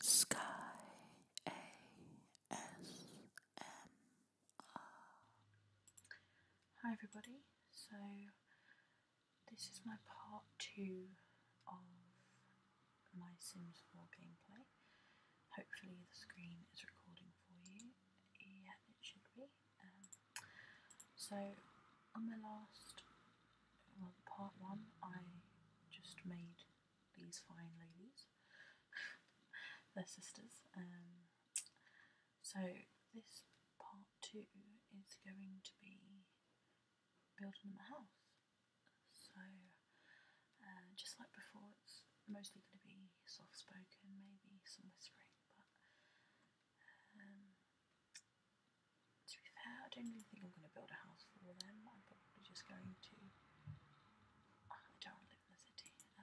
Sky ASMR. Hi everybody, so this is my part two of my Sims 4 gameplay. Hopefully the screen is recording for you. Yeah, it should be. Um, so on my last, part one, I just made these fine ladies, their sisters. Um, so this part two is going to be building them a house. So uh, just like before, it's mostly going to be soft spoken, maybe some whispering, but um, to be fair, I don't really think I'm going to build a house for them probably just going to. I don't live in the city. Uh,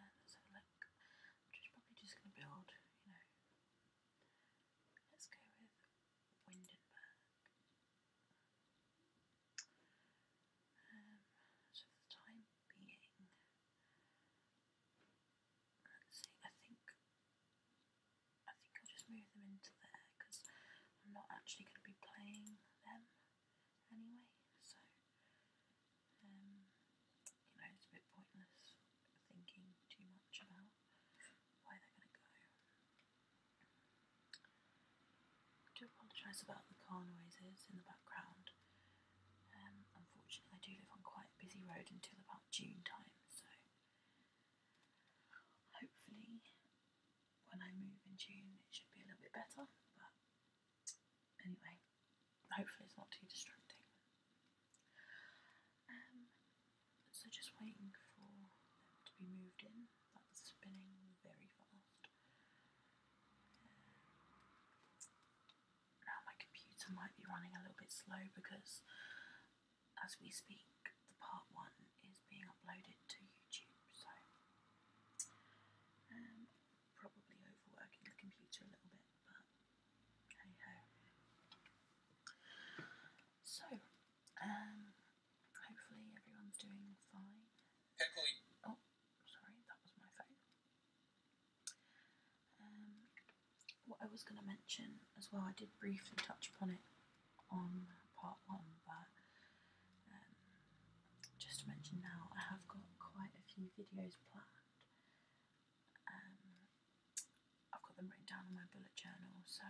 let just probably just going to build, you know. Let's go with Windenburg. Um, so the time being, let's see. I think I think I'll just move them into there because I'm not actually going to be playing them anyway, so um, you know, it's a bit pointless thinking too much about where they're going to go. do apologise about the car noises in the background. Um, unfortunately, I do live on quite a busy road until about June time, so hopefully when I move in tune, it should be a little bit better. But anyway, hopefully it's not too distracting. Um, so just waiting for to be moved in. That's spinning very fast. Uh, now my computer might be running a little bit slow because as we speak, the part one is being uploaded to YouTube, so um, probably overworking the computer a little bit, but hey So, um, hopefully everyone's doing fine. Oh, sorry, that was my phone. Um, what I was going to mention as well, I did briefly touch upon it on part one, but um, just to mention now, I have got quite a few videos planned. Um, I've got them written down in my bullet journal. So,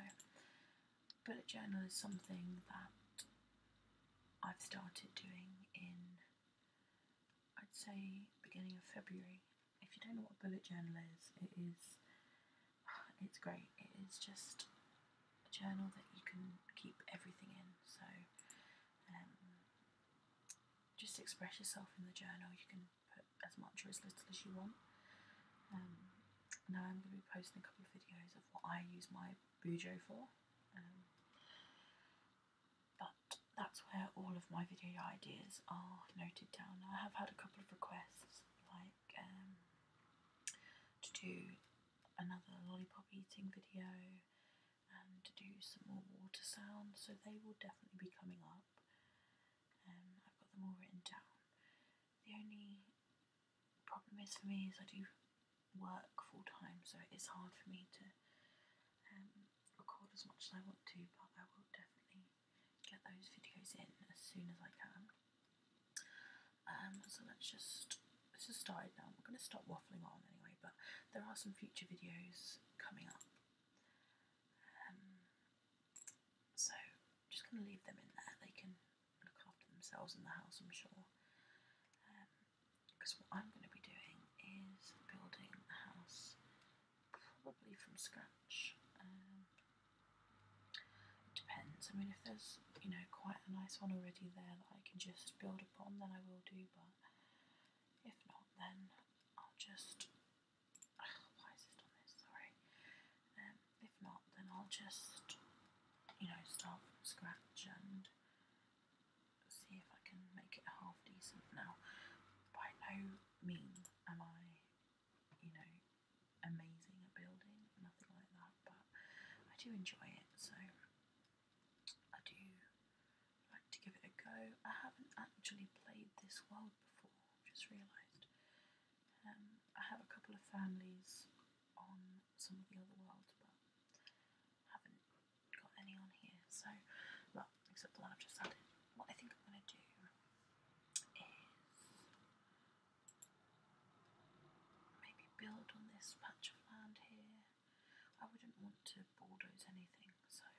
bullet journal is something that I've started doing in, I'd say, beginning of February. If you don't know what bullet journal is, it is, it's great. It is just a journal that you can keep everything in. So um, just express yourself in the journal. You can put as much or as little as you want. Um, now I'm going to be posting a couple of videos of what I use my Bujo for. Um, but that's where all of my video ideas are noted down. I have had a couple of requests like to do another lollipop eating video and to do some more water sounds, so they will definitely be coming up. Um, I've got them all written down. The only problem is for me is I do work full time, so it is hard for me to um, record as much as I want to, but I will definitely get those videos in as soon as I can. Um, so let's just, just start started now, I'm going to stop waffling on anyway, but there are some future videos coming up. Um, so I'm just going to leave them in there, they can look after themselves in the house I'm sure. Because um, what I'm going to be doing is building a house probably from scratch depends. I mean, if there's you know quite a nice one already there that I can just build upon, then I will do. But if not, then I'll just. why is this done this? Sorry. Um, if not, then I'll just you know start from scratch and see if I can make it half decent. Now, by no means am I you know amazing at building, nothing like that but I do enjoy it, so I do like to give it a go. I haven't actually played this world before, just realised. Um, I have a couple of families on some of the other worlds, but haven't got any on here, so, well, except the one I've just added. What I think I'm going to do is Maybe build on this patch of land here. I wouldn't want to bulldoze anything, so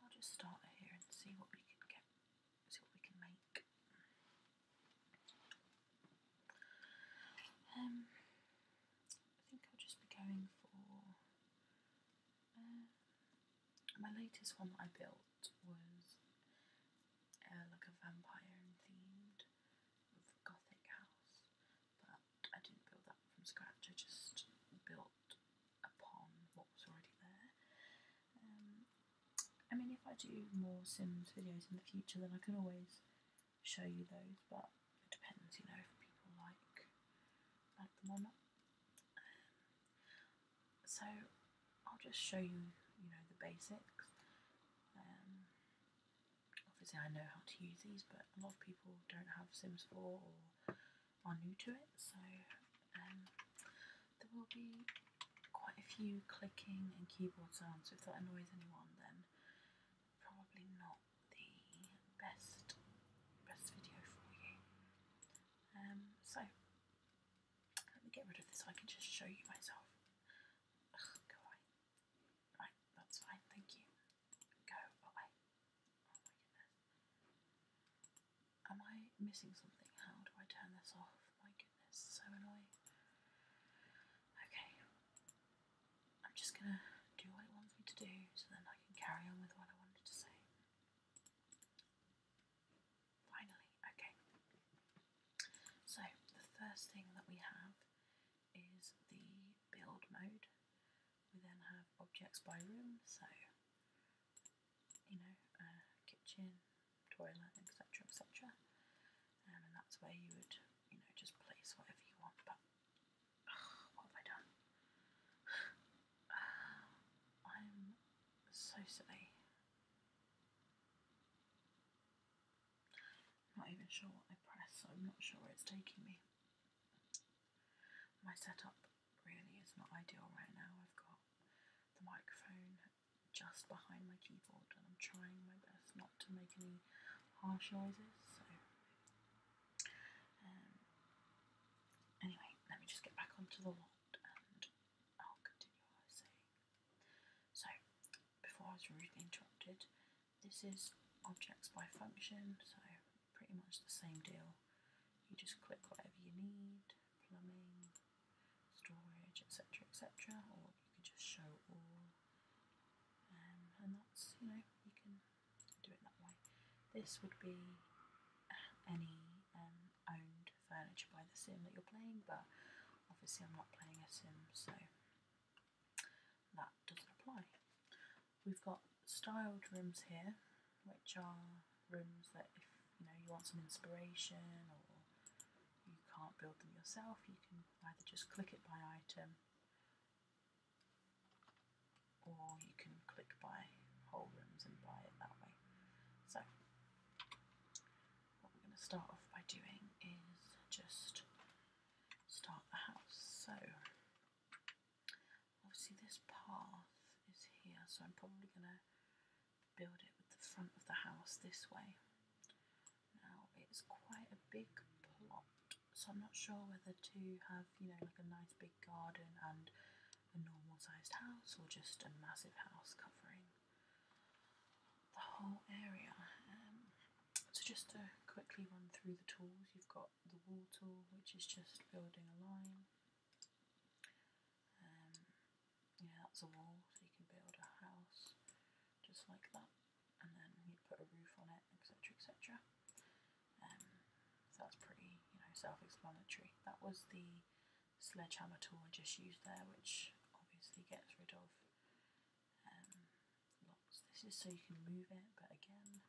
I'll just start here and see what we can get, see what we can make. Um, I think I'll just be going for uh, my latest one that I built was uh, like a vampire themed gothic house, but I didn't build that from scratch, I just built upon what was already there. Um, I mean, if I do more Sims videos in the future, then I can always show you those, but it depends, you know, if people like, like them or not. so I'll just show you, you know, the basics. Um, obviously I know how to use these, but a lot of people don't have Sims 4 or are new to it, so um, there will be quite a few clicking and keyboard sounds. So if that annoys anyone, then probably not the best best video for you. Um, so let me get rid of this. I can just show you myself. go away. Right, that's fine, thank you. Go away. Oh my goodness. Am I missing something? How do I turn this off? My goodness, so annoying. Okay. I'm just gonna do what it wants me to do so then I can carry on with what I wanted to say. Finally, okay. So the first thing that we have is the build mode. We then have objects by room, so you know, uh, kitchen, toilet, etc., etc. Um, and that's where you would, you know, just place whatever you want. But what have I done? I'm so silly. Not even sure what I press, so I'm not sure where it's taking me. My setup really is not ideal right now. I've got the microphone just behind my keyboard and I'm trying my best not to make any harsh noises, so um, anyway, let me just get back onto the lot and I'll continue what I before I was rudely interrupted, this is objects by function, so pretty much the same deal. You just click whatever you need, plumbing, storage, etc., etc., or you could just show all. Um, and that's, you know, you can do it that way. This would be any um, owned furniture by the sim that you're playing, but obviously I'm not playing a sim, so that doesn't apply. We've got styled rooms here, which are rooms that if you know you want some inspiration or you can't build them yourself, you can either just click it by item or you can click by whole rooms and buy it that way. So what we're going to start off by doing is just start the house. So obviously this path is here, so I'm probably going to build it with the front of the house this way. Now it's quite a big plot, so I'm not sure whether to have, you know, like a nice big garden and a normal sized house or just a massive house covering the whole area. Um, so just to quickly run through the tools, you've got the wall tool, which is just building a line. Um, yeah, that's a wall, so you can build a house just like that, and then you put a roof on it, etc., etc. Um, that's pretty, you know, self-explanatory. That was the sledgehammer tool I just used there, which obviously gets rid of um, this is so you can move it, but again,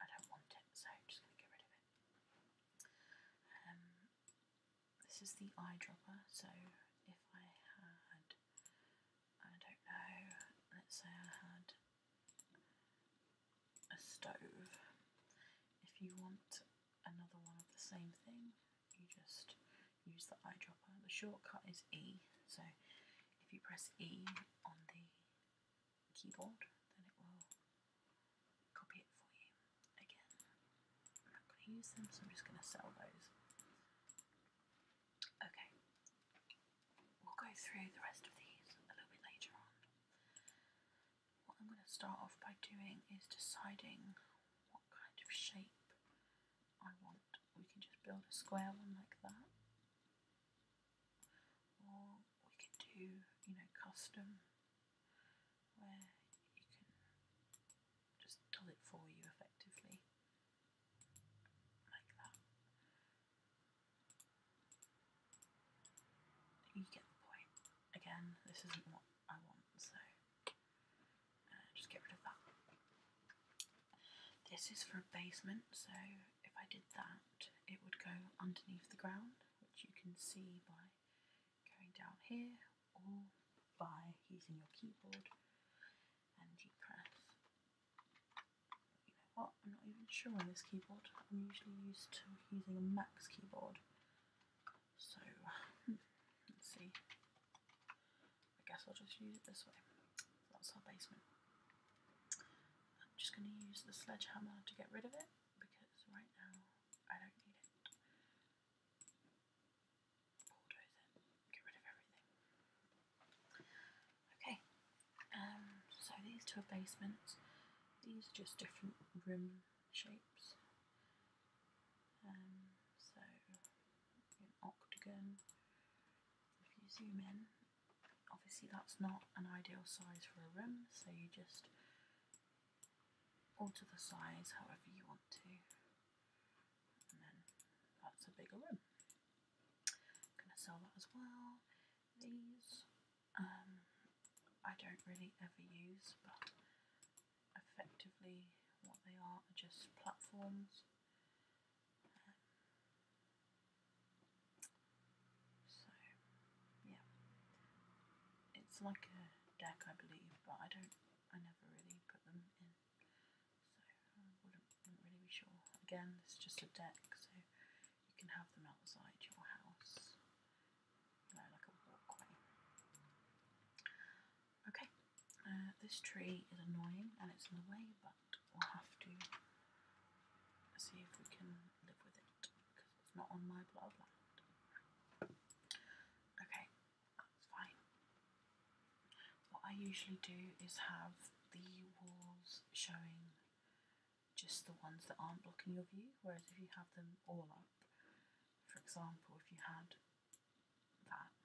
I don't want it, so I'm just going to get rid of it. Um, this is the eyedropper, so if I had, I don't know, let's say I had a stove, if you want another one of the same thing, you just use the eyedropper. The shortcut is E, so if you press E on the keyboard, then it will copy it for you. Again, I'm not going to use them, so I'm just going to sell those. Okay, we'll go through the rest of these a little bit later on. What I'm going to start off by doing is deciding what kind of shape I want we can just build a square one like that. Or we can do, you know, custom where you can just does it for you effectively. Like that. You get the point. Again, this isn't what I want, so uh, just get rid of that. This is for a basement, so if I did that, it would go underneath the ground, which you can see by going down here or by using your keyboard and you press. You know what? I'm not even sure on this keyboard. I'm usually used to using a Max keyboard. So, let's see. I guess I'll just use it this way. That's our basement. I'm just going to use the sledgehammer to get rid of it because right now I don't need it. get rid of everything. Okay, um, so these two are basements. These are just different room shapes. Um, so an octagon. If you zoom in, obviously that's not an ideal size for a room, so you just alter the size however you want to, and then that's a bigger room. I'm gonna sell that as well. These um, I don't really ever use, but effectively what they are are just platforms so, yeah. It's like a deck, I believe, but I don't, I never really put them in. So, I wouldn't, really be sure. Again, it's just a deck, so you can have them outside your house. You know, like a walkway. Okay, uh, this tree is annoying and it's in the way, but we'll have to see if we can live with it because it's not on my plot Okay, that's fine. What I usually do is have the walls showing just the ones that aren't blocking your view, whereas if you have them all up, for example, if you had that.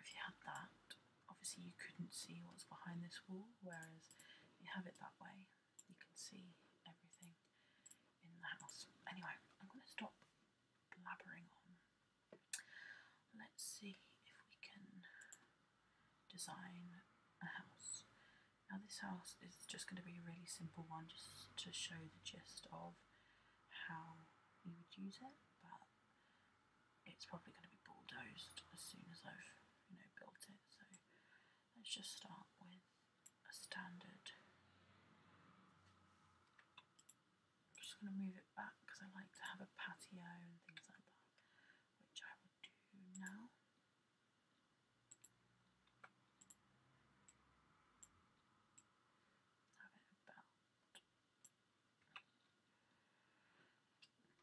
If you had that, obviously you couldn't see what's behind this wall, whereas you have it that way, you can see everything in the house. Anyway, I'm going to stop blabbering on. Let's see if we can design a house. Now this house is just going to be a really simple one just to show the gist of how you would use it, but it's probably going to be bulldozed as soon as I've you know built it. So let's just start with a standard. I'm just going to move it back because I like to have a patio and things like that, which I will do now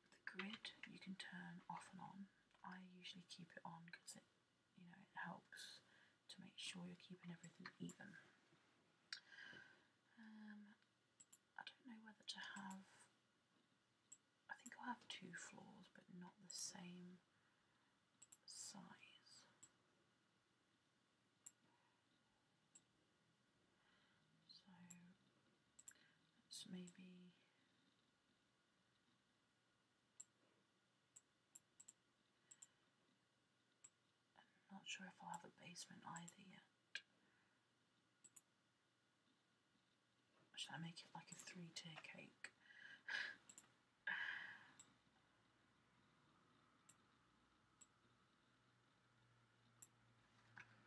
the grid you can turn off and on. I usually keep it on because it you know it helps to make sure you're keeping everything even. Um, I don't know whether to have I think I'll have two floors but not the same size. So that's maybe I'm not sure if I'll have a basement either yet. Should I make it like a three tier cake?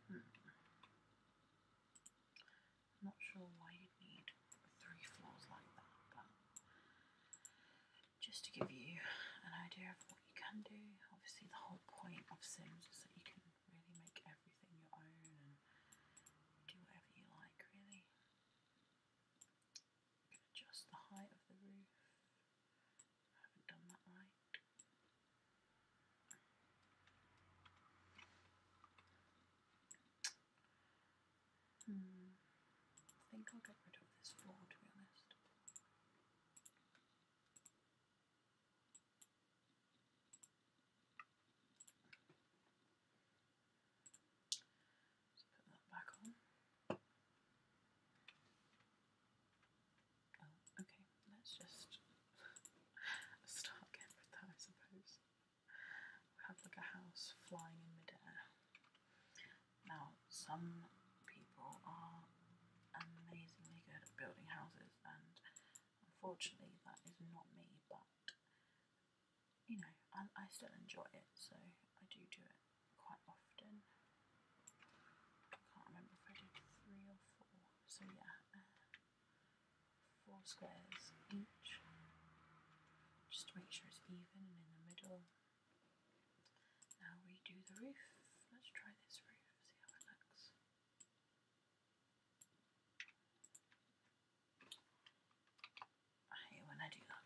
I'm not sure why you need three floors like that, but just to give you an idea of what you can do. Obviously, the whole point of Sims is that you can really make everything your own and do whatever you like, really. Adjust the height of the roof. I haven't done that right. Hmm. I think I'll get rid of this floor to be honest put that back on. okay, let's just start again with that, I suppose. We have like a house flying in midair. Now, some people are amazingly good at building houses, and unfortunately, that is not me, but you know, I still enjoy it, so I do do it quite often. I can't remember if I did three or four. So yeah, uh, four squares each, just to make sure it's even and in the middle. Now we do the roof. Let's try this roof, see how it looks. I hate when I do that.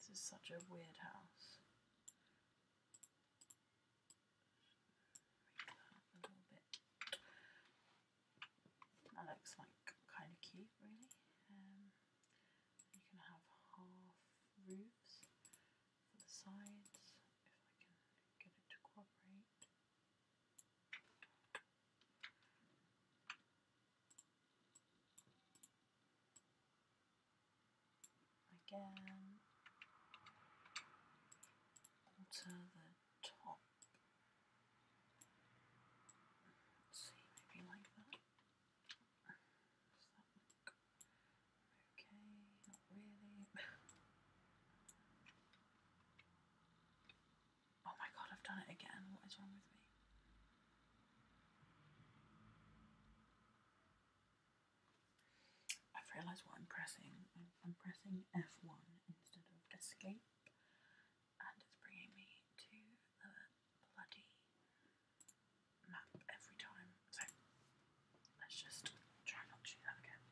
This is such a weird house. That looks like kind of cute, really. Um, you can have half roofs for the sides, if I can get it to cooperate again alter the top. see, maybe like that. Does that look okay? Not really. oh my god, I've done it again. What is wrong with me? I've realised what I'm pressing. I'm, pressing F1 instead of escape, and it's bringing me to the bloody map every time. So let's just try not to do that again.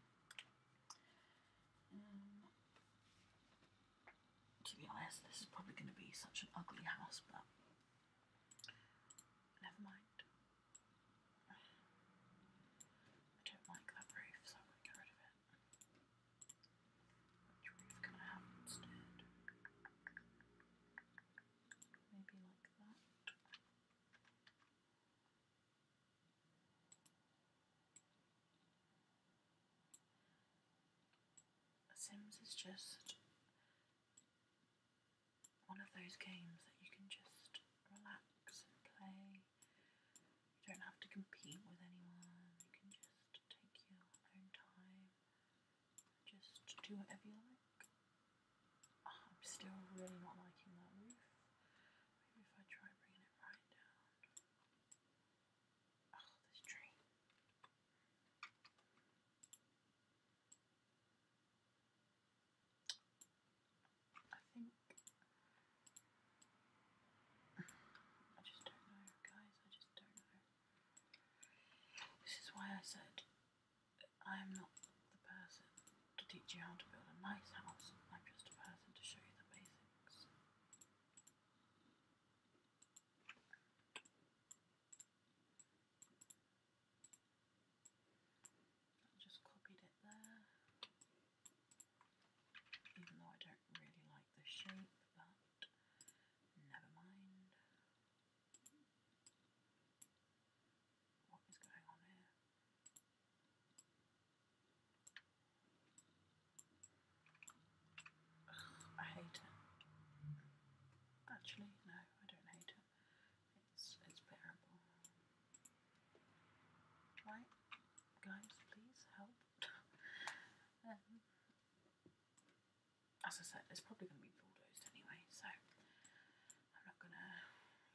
Um, to be honest, this is probably going to be such an ugly house, but Never mind. I don't like that roof, so I'm going to get rid of it. Which roof can I have instead? Maybe like that. Sims is just one of those games that you can just relax and play. You don't have to compete with anyone. You can just take your own time. Just do whatever you like. Ah, I'm still really not liking that roof. Maybe if I try bringing it right down. Oh, this tree. I think I just don't know, guys. I just don't know. This is why I said I am not the person to teach you how to build a nice house. I'm just a person to show you the basics. I just copied it there, even though I don't really like the shape, but never mind. What is going on here? I hate it. Actually, no. I don't hate it. It's it's bearable. Right, guys, please help. Um, as I said, it's probably going to be bulldozed anyway, so I'm not going to,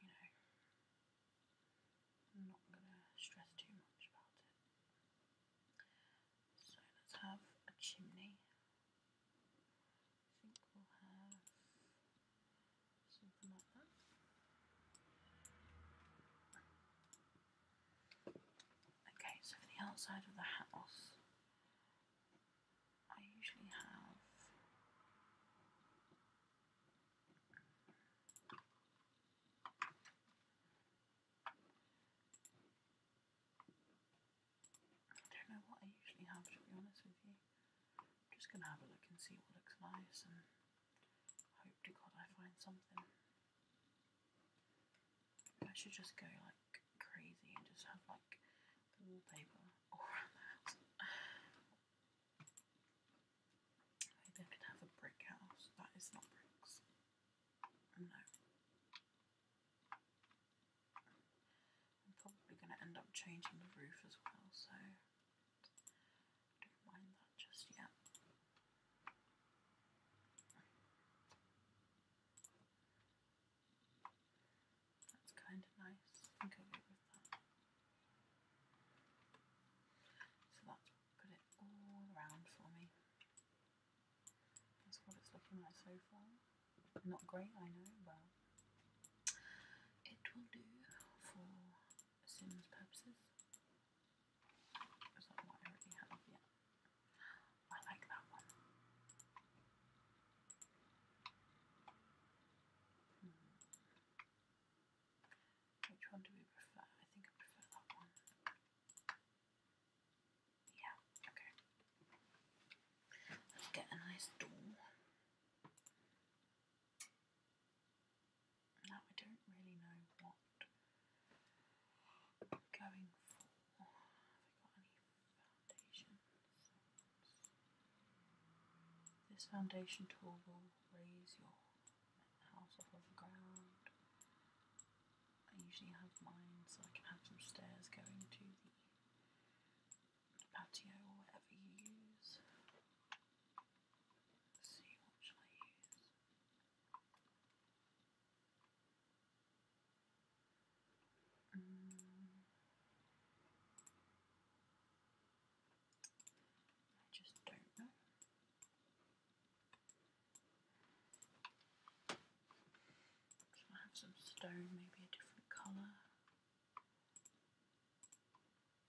you know, I'm not going to stress too much about it. So let's have a chimney. I think we'll have something like that. Okay, so for the outside of the house, I usually have I don't know what I usually have to be honest with you. I'm just going to have a look and see what looks nice and hope to God I find something. I should just go like crazy and just have like wallpaper all around the house. Maybe I could have a brick house. That is not bricks. No. I'm probably going to end up changing the roof as well, so don't mind that just yet. That's kind of nice. think I'll with that. So that's put it all around for me. That's what it's looking like so far. Not great, I know, but it will do for Sims purposes. Is I already have? Yeah. I like that one. Hmm. Which one do we prefer? I think I prefer that one. Yeah, okay. Let's get a nice door. Now I don't really know what I'm going for. This foundation tool will raise your house off of the ground. I usually have mine so I can have some stairs going to the patio or whatever you use. see what I use. Mm. I just don't know. Can have some stone, maybe a different colour?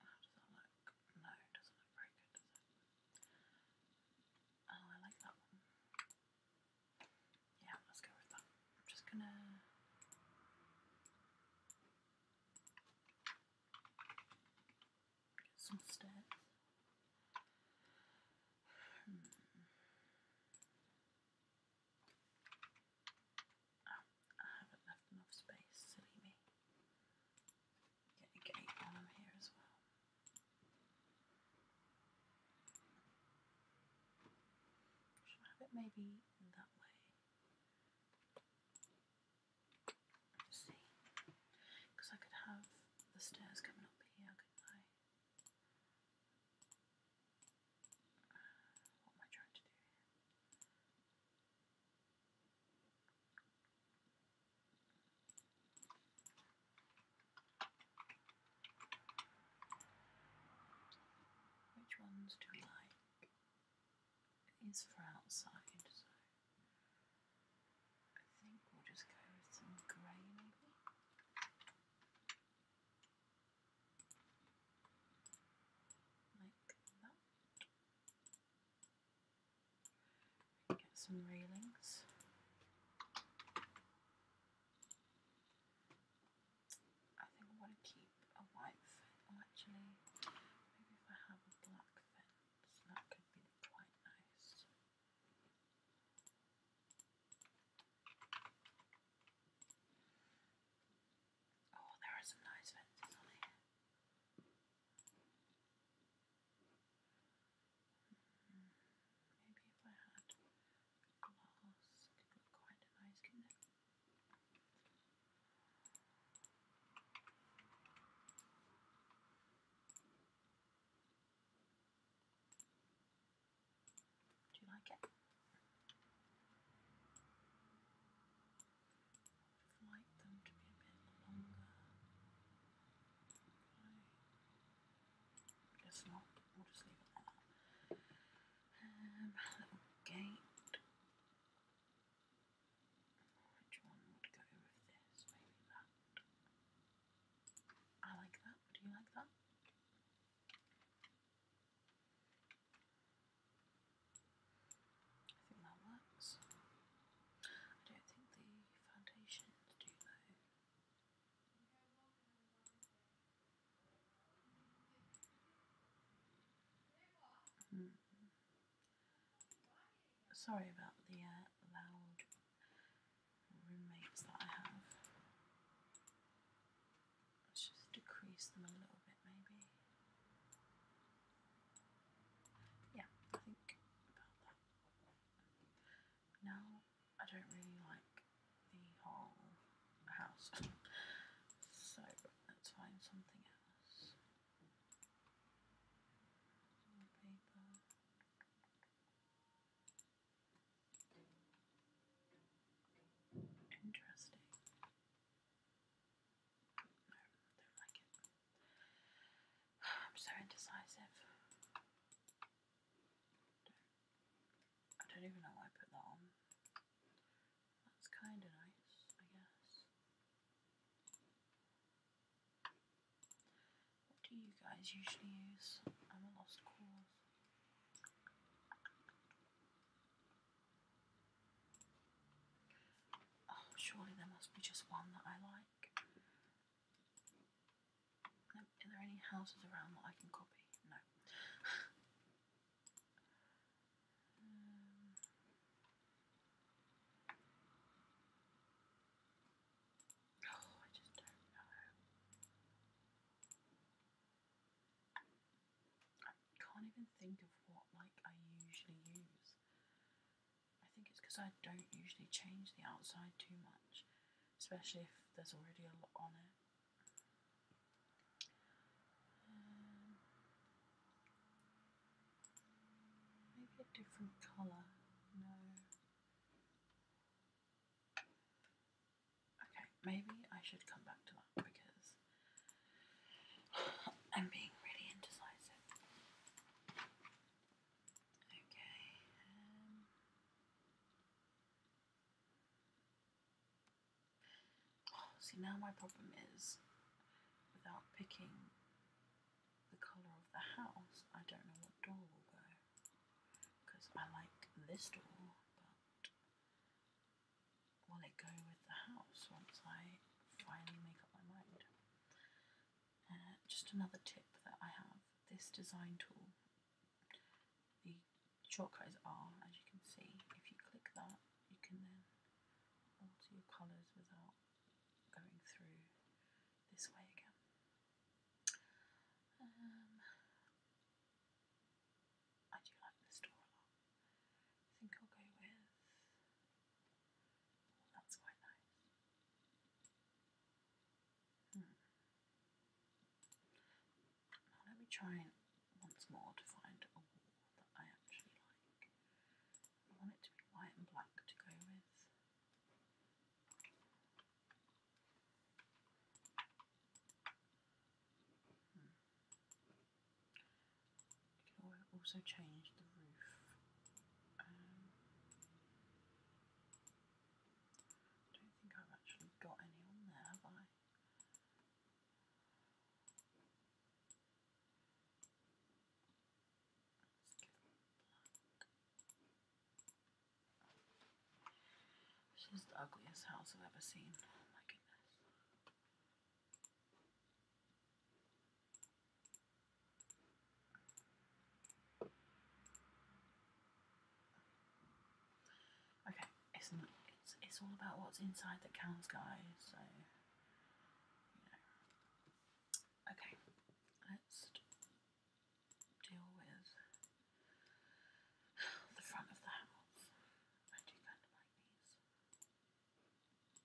How does that look? No, doesn't look very good, does it? Oh, I like that one. Yeah, let's go with that. I'm just gonna. Get some stairs. Hmm. I haven't left enough space, silly me. Get a gate on here as well. Should I have it maybe that way? see. Because I could have the stairs coming up here, could what Which ones do we like? These for outside, so I think we'll just go with some grey maybe. Get some railings. I think I want to keep a white fence. actually, maybe if I have a black fence, that could be quite nice. Oh, there are some nice fences on here. Hmm, maybe if I had glass, it would look quite nice, do you like it? like them to be a bit longer. I not. We'll just leave it like um, little gate. Which one would go with this? Maybe that. I like that. Do you like that? I think that works. I don't think the foundations do hmm. Sorry about the uh, loud roommates that I have. Let's just decrease them a little bit, maybe. Yeah, I think Now, I don't really like the whole house, so let's find something else. Interesting. No, don't like it. I'm so indecisive. I don't even know why I put that on. That's kind of nice, I guess. What do you guys usually use? I'm a lost cause. Oh, surely there must be just one that I like. No, are there any houses around that I can copy? No. oh, I just don't know. I can't even think of what like I usually use. I think it's because I don't usually change the outside too much, especially if there's already a lot on it. Um, maybe a different colour. No. Okay, maybe I should come back to that because I'm being really indecisive. Okay. Um, oh, see, now my problem is without picking the colour of the house, I don't know what door will go. Because I like this door, but will it go with the house once I finally make up my mind? Uh, just another tip that I have this design tool, the shortcut is R, as you can see. If you click that, you can then alter your colours without going through this way again. Um, I do like the store a lot. I think I'll go with. Oh, that's quite nice. Hmm. let me try once more to find a that I actually like. I want it to be white and black to go with. Hmm. You also change the roof. I um, don't think I've actually got any on there, have I? Let's the ugliest house I've ever seen. Oh my goodness. Okay, it's not, it's it's all about what's inside that counts, guys. So Okay, let's deal with the front of the house. I do kind of like these.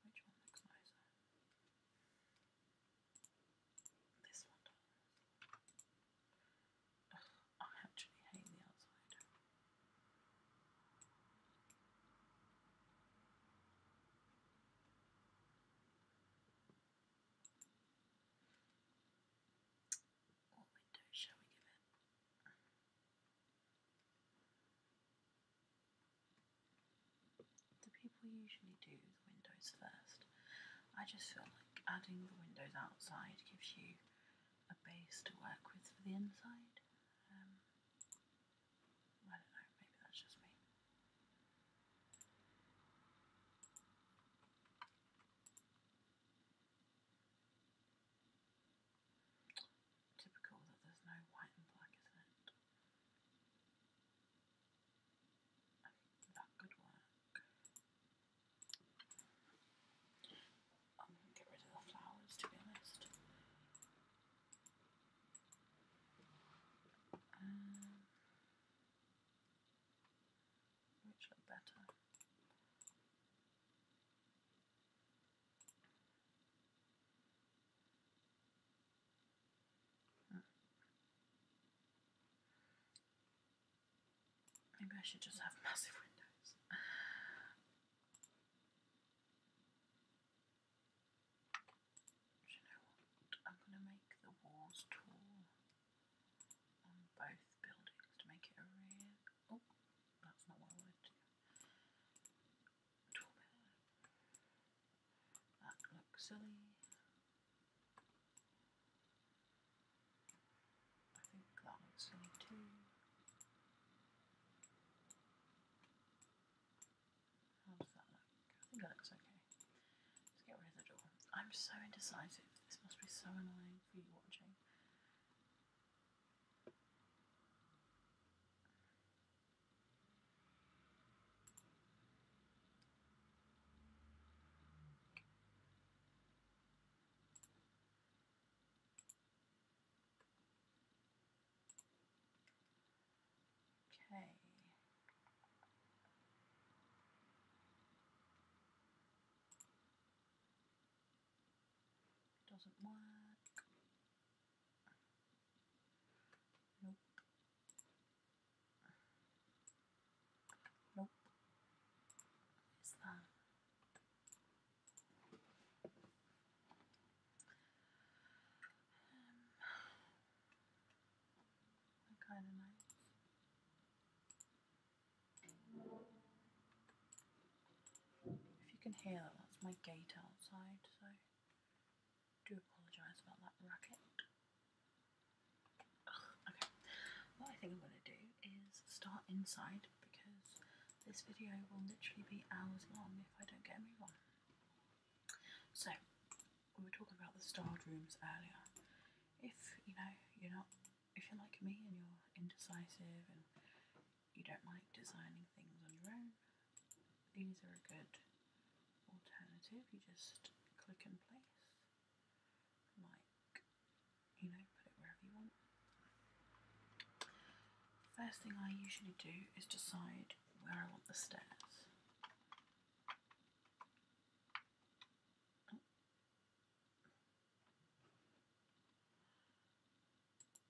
Which one looks nicer? This one does. Ugh, I actually hate the outside. The people usually do the windows first. I just feel like adding the windows outside gives you a base to work with for the inside. Um, I don't know, maybe that's just me. Typical that there's no white and black, isn't it? that could work. I'm going to get rid of the flowers to be honest. Um, which look better. Hmm. Maybe I should just have massive windows. Do you know what? I'm going to make the walls tall on um, both buildings to make it a rear. Oh, that's not what I wanted do. That looks silly. I think that looks silly too. How does that look? I think that looks okay. Let's get rid of the door. I'm so indecisive. This must be so annoying you watching. Okay. Doesn't work. Nope. Nope. Is that? kind of nice. If you can hear that, that's my gate outside, so do apologise about that racket. okay, what I think I'm going to do is start inside because this video will literally be hours long if I don't get a move on. So, we were talking about the starred rooms earlier. If you know you're not if you're like me and you're indecisive and you don't like designing things on your own, these are a good alternative. You just click and place, like, you know, put it wherever you want. First thing I usually do is decide where I want the stairs. So,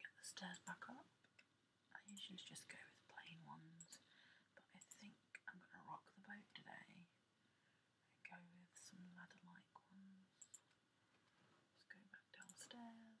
get the stairs back up. I usually just go with plain ones, but I think I'm going to rock the boat today go with some ladder like ones. Let's back downstairs.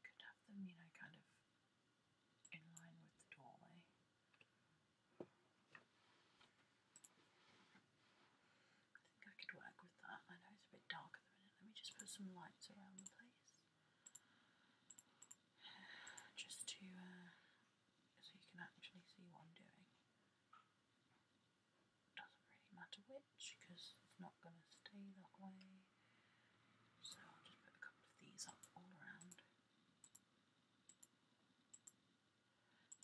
Could have them, you kind of in line with the doorway. I think I could work with that. I know it's a bit dark Let me just put some lights around the place. Just to, uh, so you can actually see what I'm doing doesn't really matter which because it's not going to stay that way. So I'll just put a couple of these up all around.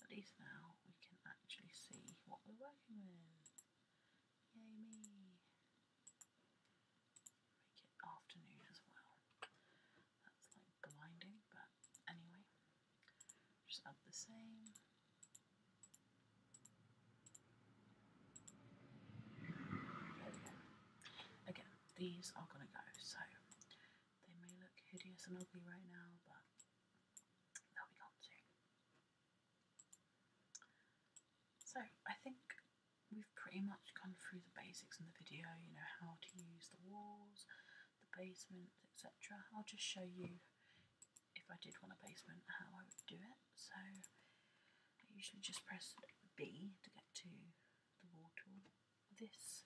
At least now we can actually see what we're working with. Yay me! Make it afternoon as well. That's like blinding, but anyway. Just up the same. we Again, these are gonna go, so they may look hideous and ugly right now, but they'll be gone soon. So I think we've pretty much gone through the basics in the video, you know, how to use the walls, the basement, etc. I'll just show you if I did want a basement, how I would do it. So I usually just press B to get to the wall tool. This,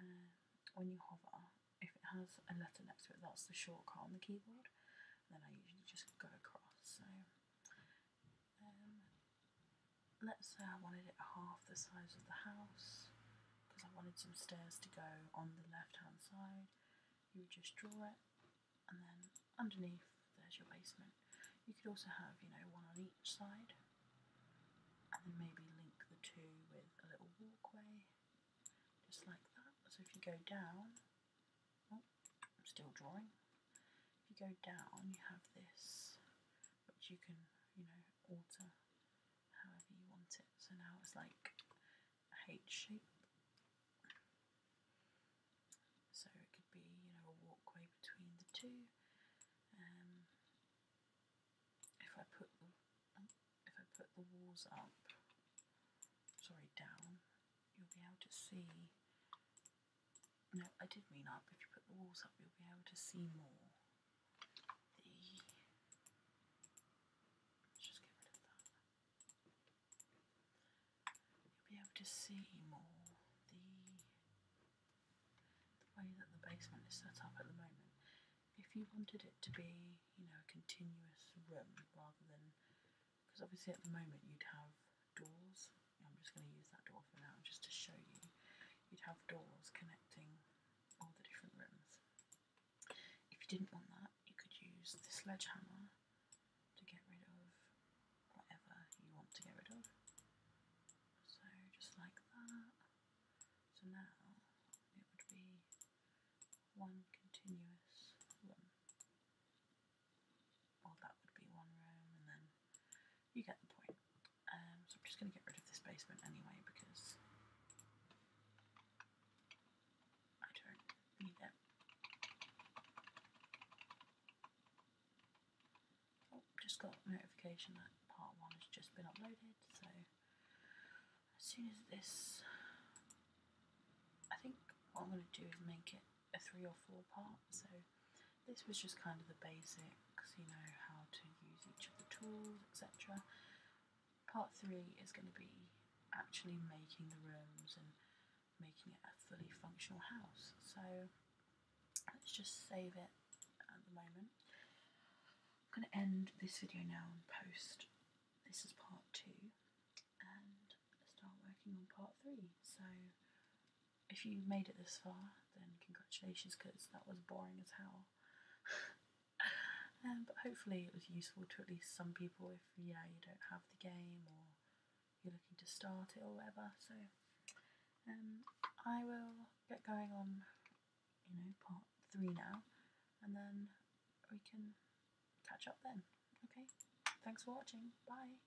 um, when you hover, if it has a letter next to it, that's the shortcut on the keyboard. then I usually just go across. So um, let's say I wanted it half the size of the house because I wanted some stairs to go on the left hand side. You would just draw it, and then underneath there's your basement. You could also have, you know, one on each side, and then maybe link the two with a little walkway, just like that. So if you go down, oh, I'm still drawing. If you go down, you have this, which you can, you know, alter however you want it. So now it's like a H shape. So it could be, you know, a walkway between the two. Um, if I put if I put the walls up, sorry, down, you'll be able to see. No, I did mean up. If you put the walls up, you'll be able to see more. You'll be able to see more the the way that the basement is set up at the moment. If you wanted it to be, you know, a continuous room rather than because obviously at the moment you'd have doors. I'm just going to use that door for now just to show you. You'd have doors connecting all the different rooms. If you didn't want that, you could use the sledgehammer to get rid of whatever you want to get rid of. So just like that. So now it would be one continuous room. Well, that would be one room, and then you get the point. Um, so I'm just going to get rid of this basement anyway because I do need that. Oh, just got notification that part one has just been uploaded, so as soon as this, I think what I'm going to do is make it a three or four part, so this was just kind of the basics, you know, how to use each of the tools, etc part three is going to be actually making the rooms and making it a fully functional house. So let's just save it at the moment. I'm going to end this video now and post. This is part two and start working on part three. So if you made it this far, then congratulations because that was boring as hell. Um, but hopefully it was useful to at least some people if yeah you don't have the game or you're looking to start it or whatever. So um, I will get going on you know part three now, and then we can catch up then. Okay, thanks for watching. Bye.